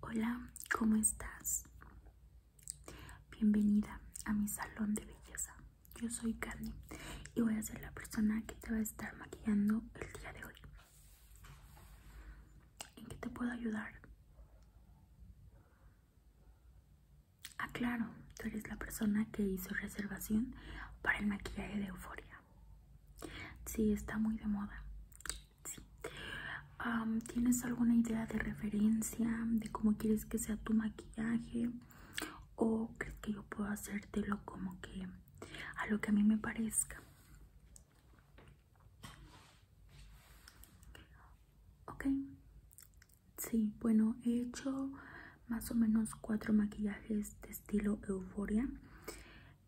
Hola, ¿cómo estás? Bienvenida a mi salón de belleza. Yo soy Candy y voy a ser la persona que te va a estar maquillando el día de hoy. ¿En qué te puedo ayudar? Ah, claro, tú eres la persona que hizo reservación para el maquillaje de euforia. Sí, está muy de moda. ¿Tienes alguna idea de referencia de cómo quieres que sea tu maquillaje? ¿O crees que yo puedo hacértelo como que a lo que a mí me parezca? Ok. Sí, bueno, he hecho más o menos cuatro maquillajes de estilo euforia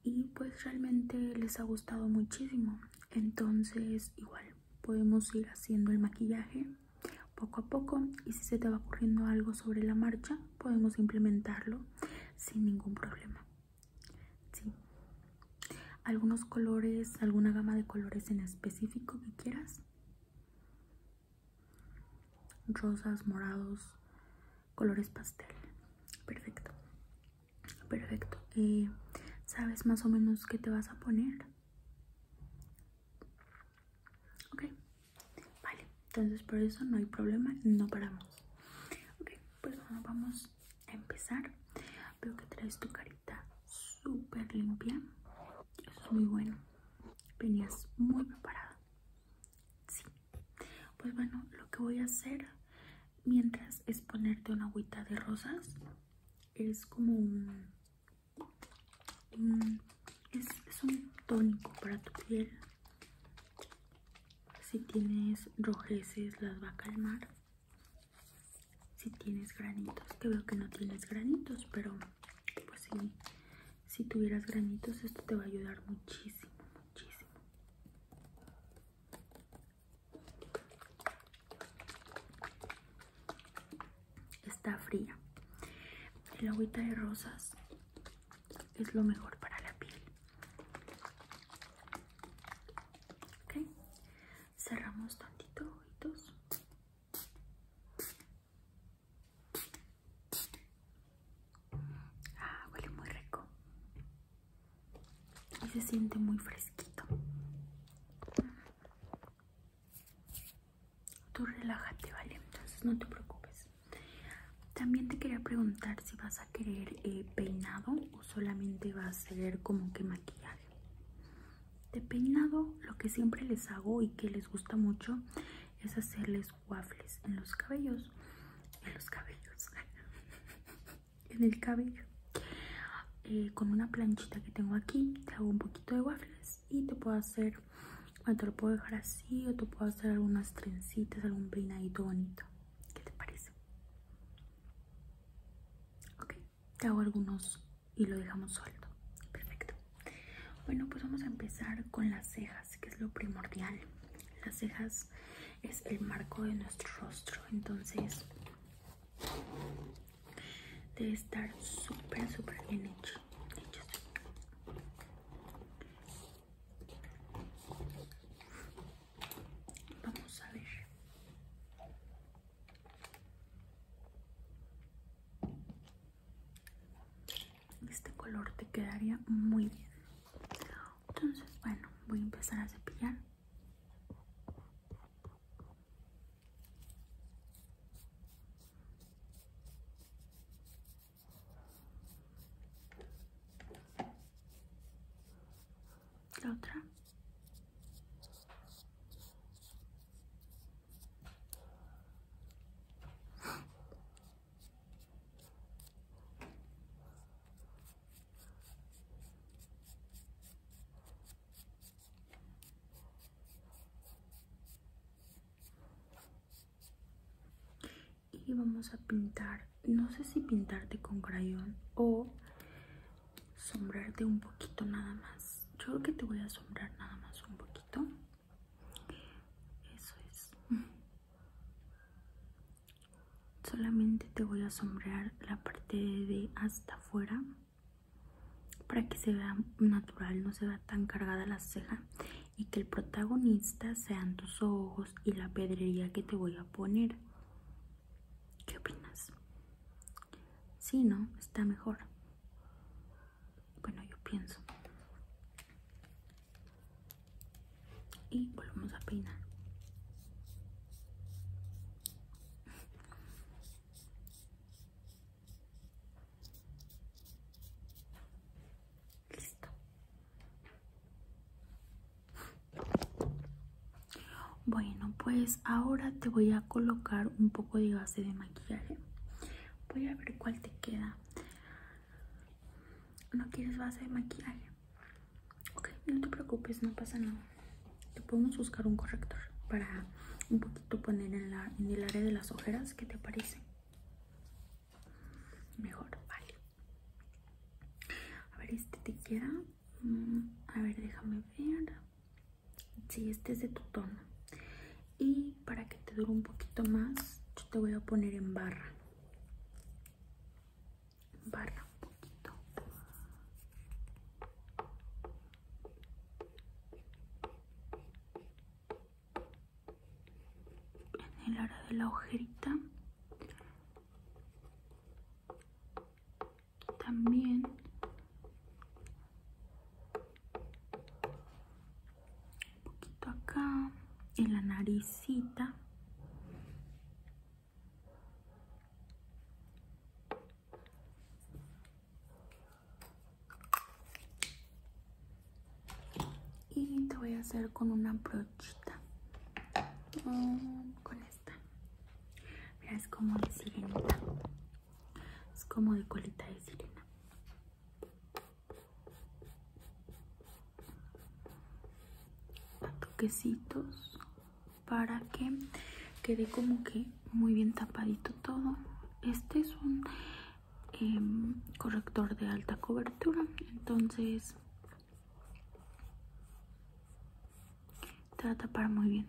y pues realmente les ha gustado muchísimo entonces igual podemos ir haciendo el maquillaje poco a poco y si se te va ocurriendo algo sobre la marcha podemos implementarlo sin ningún problema sí. algunos colores alguna gama de colores en específico que quieras rosas morados colores pastel perfecto Perfecto. ¿Sabes más o menos qué te vas a poner? Ok. Vale. Entonces por eso no hay problema. No paramos. Ok. Pues bueno, vamos a empezar. Veo que traes tu carita súper limpia. Eso es muy bueno. Venías muy preparada. Sí. Pues bueno, lo que voy a hacer mientras es ponerte una agüita de rosas. Es como un, es, es un tónico para tu piel. Si tienes rojeces las va a calmar. Si tienes granitos, que veo que no tienes granitos, pero pues si tuvieras granitos esto te va a ayudar muchísimo, muchísimo. Está fría. El agüita de rosas es lo mejor para la piel. cerramos tantito ojitos. Ah, huele muy rico y se siente muy fresquito. Tú relájate, ¿vale? Entonces no te preocupes. También te quería preguntar si vas a querer eh, peinado o solamente vas a querer como que maquillaje. De peinado, lo que siempre les hago y que les gusta mucho es hacerles waffles en los cabellos. En los cabellos. en el cabello eh, con una planchita que tengo aquí te hago un poquito de waffles y te puedo hacer o te lo puedo dejar así o te puedo hacer algunas trencitas algún peinadito bonito ¿qué te parece? ok te hago algunos y lo dejamos suelto perfecto bueno pues vamos a empezar con las cejas que es lo primordial las cejas es el marco de nuestro rostro entonces debe estar súper súper bien hecho vamos a ver este color te quedaría muy bien entonces bueno voy a empezar a cepillar la otra y vamos a pintar no sé si pintarte con crayón o sombrarte un poquito nada más yo creo que te voy a sombrar nada más un poquito eso es solamente te voy a sombrear la parte de hasta afuera para que se vea natural no se vea tan cargada la ceja y que el protagonista sean tus ojos y la pedrería que te voy a poner ¿Qué opinas? Si ¿no? Está mejor. Bueno, yo pienso y volvemos a peinar listo bueno pues ahora te voy a colocar un poco de base de maquillaje voy a ver cuál te queda no quieres base de maquillaje Ok, no te preocupes, no pasa nada. Te podemos buscar un corrector para un poquito poner en, la, en el área de las ojeras. que te parece? Mejor, vale. A ver, este te quiera, mm, A ver, déjame ver. Sí, este es de tu tono. Y para que te dure un poquito más, yo te voy a poner en barra barra un poquito en el área de la ojerita también un poquito acá en la naricita y te voy a hacer con una brochita mm, con esta mira es como de sirenita es como de colita de sirena toquecitos para que quede como que muy bien tapadito todo este es un em, corrector de alta cobertura entonces te va a tapar muy bien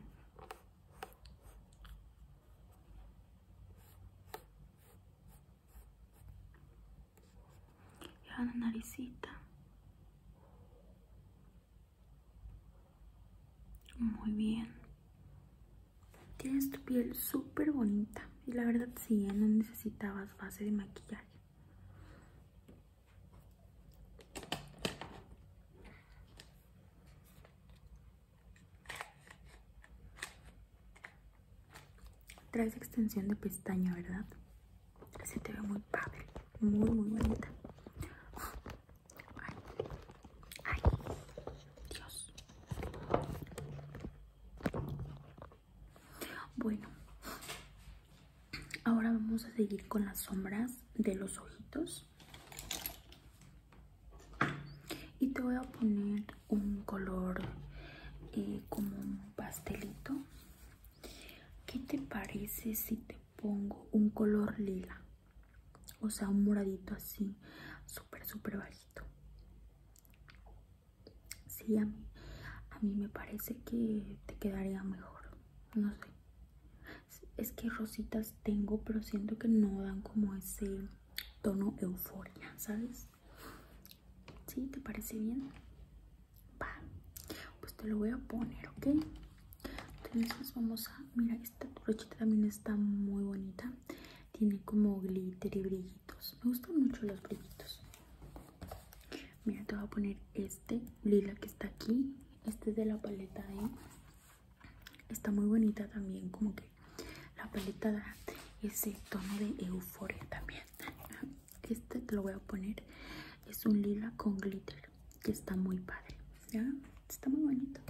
la naricita muy bien. Tienes tu piel súper bonita. Y la verdad sí, ¿eh? no necesitabas base de maquillaje. Traes extensión de pestaña, ¿verdad? se te ve muy padre, muy muy bonita. Dios. Bueno, ahora vamos a seguir con las sombras de los ojitos. Y te voy a poner un color eh, como un pastelito ¿Qué te parece si te pongo un color lila? O sea, un moradito así, súper, súper bajito. Sí, a mí, a mí me parece que te quedaría mejor. No sé. Es que rositas tengo, pero siento que no dan como ese tono euforia, ¿sabes? ¿Sí? ¿Te parece bien? pues te lo voy a poner, ¿ok? Entonces vamos a... Mira, esta brochita también está muy bonita. Tiene como glitter y brillitos. Me gustan mucho los brillitos. Mira, te voy a poner este lila que está aquí. Este es de la paleta de... Está muy bonita también, como que la paleta da ese tono de euforia también este te lo voy a poner es un lila con glitter que está muy padre ¿ya? está muy bonito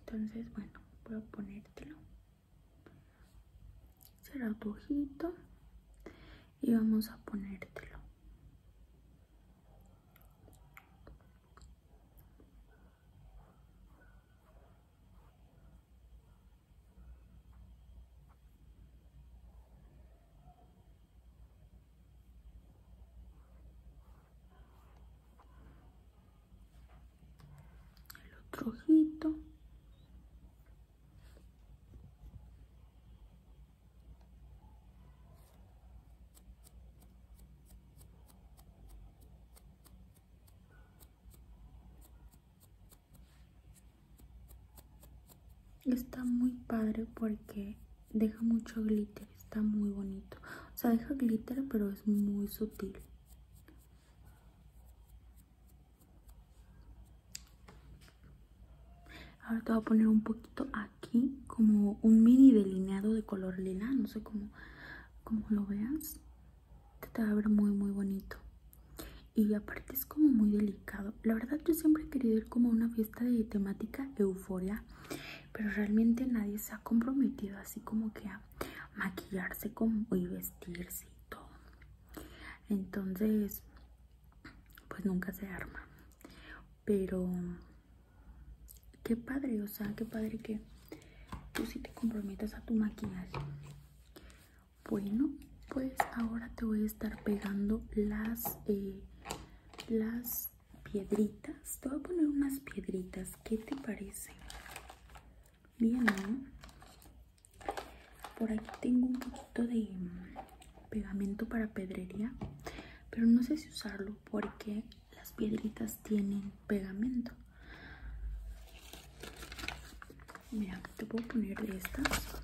entonces bueno voy a ponértelo cierra tu ojito y vamos a ponértelo el otro ojito Está muy padre porque deja mucho glitter, está muy bonito. O sea, deja glitter, pero es muy sutil. Ahora te voy a poner un poquito aquí, como un mini delineado de color lila. No sé cómo, como lo veas. te va a ver muy, muy bonito. Y aparte como muy delicado. La verdad yo siempre he querido ir como una fiesta de temática euforia, pero realmente nadie se ha comprometido así como que a maquillarse como y vestirse y todo. Entonces, pues nunca se arma. Pero qué padre, o sea, qué padre que tú si te comprometas a tu maquillaje. Bueno, pues ahora te voy a estar pegando eh, las piedritas te voy a poner unas piedritas ¿qué te parece? bien ¿no? por aquí tengo un poquito de mm, pegamento para pedrería pero no sé si usarlo porque las piedritas tienen pegamento mira te puedo poner estas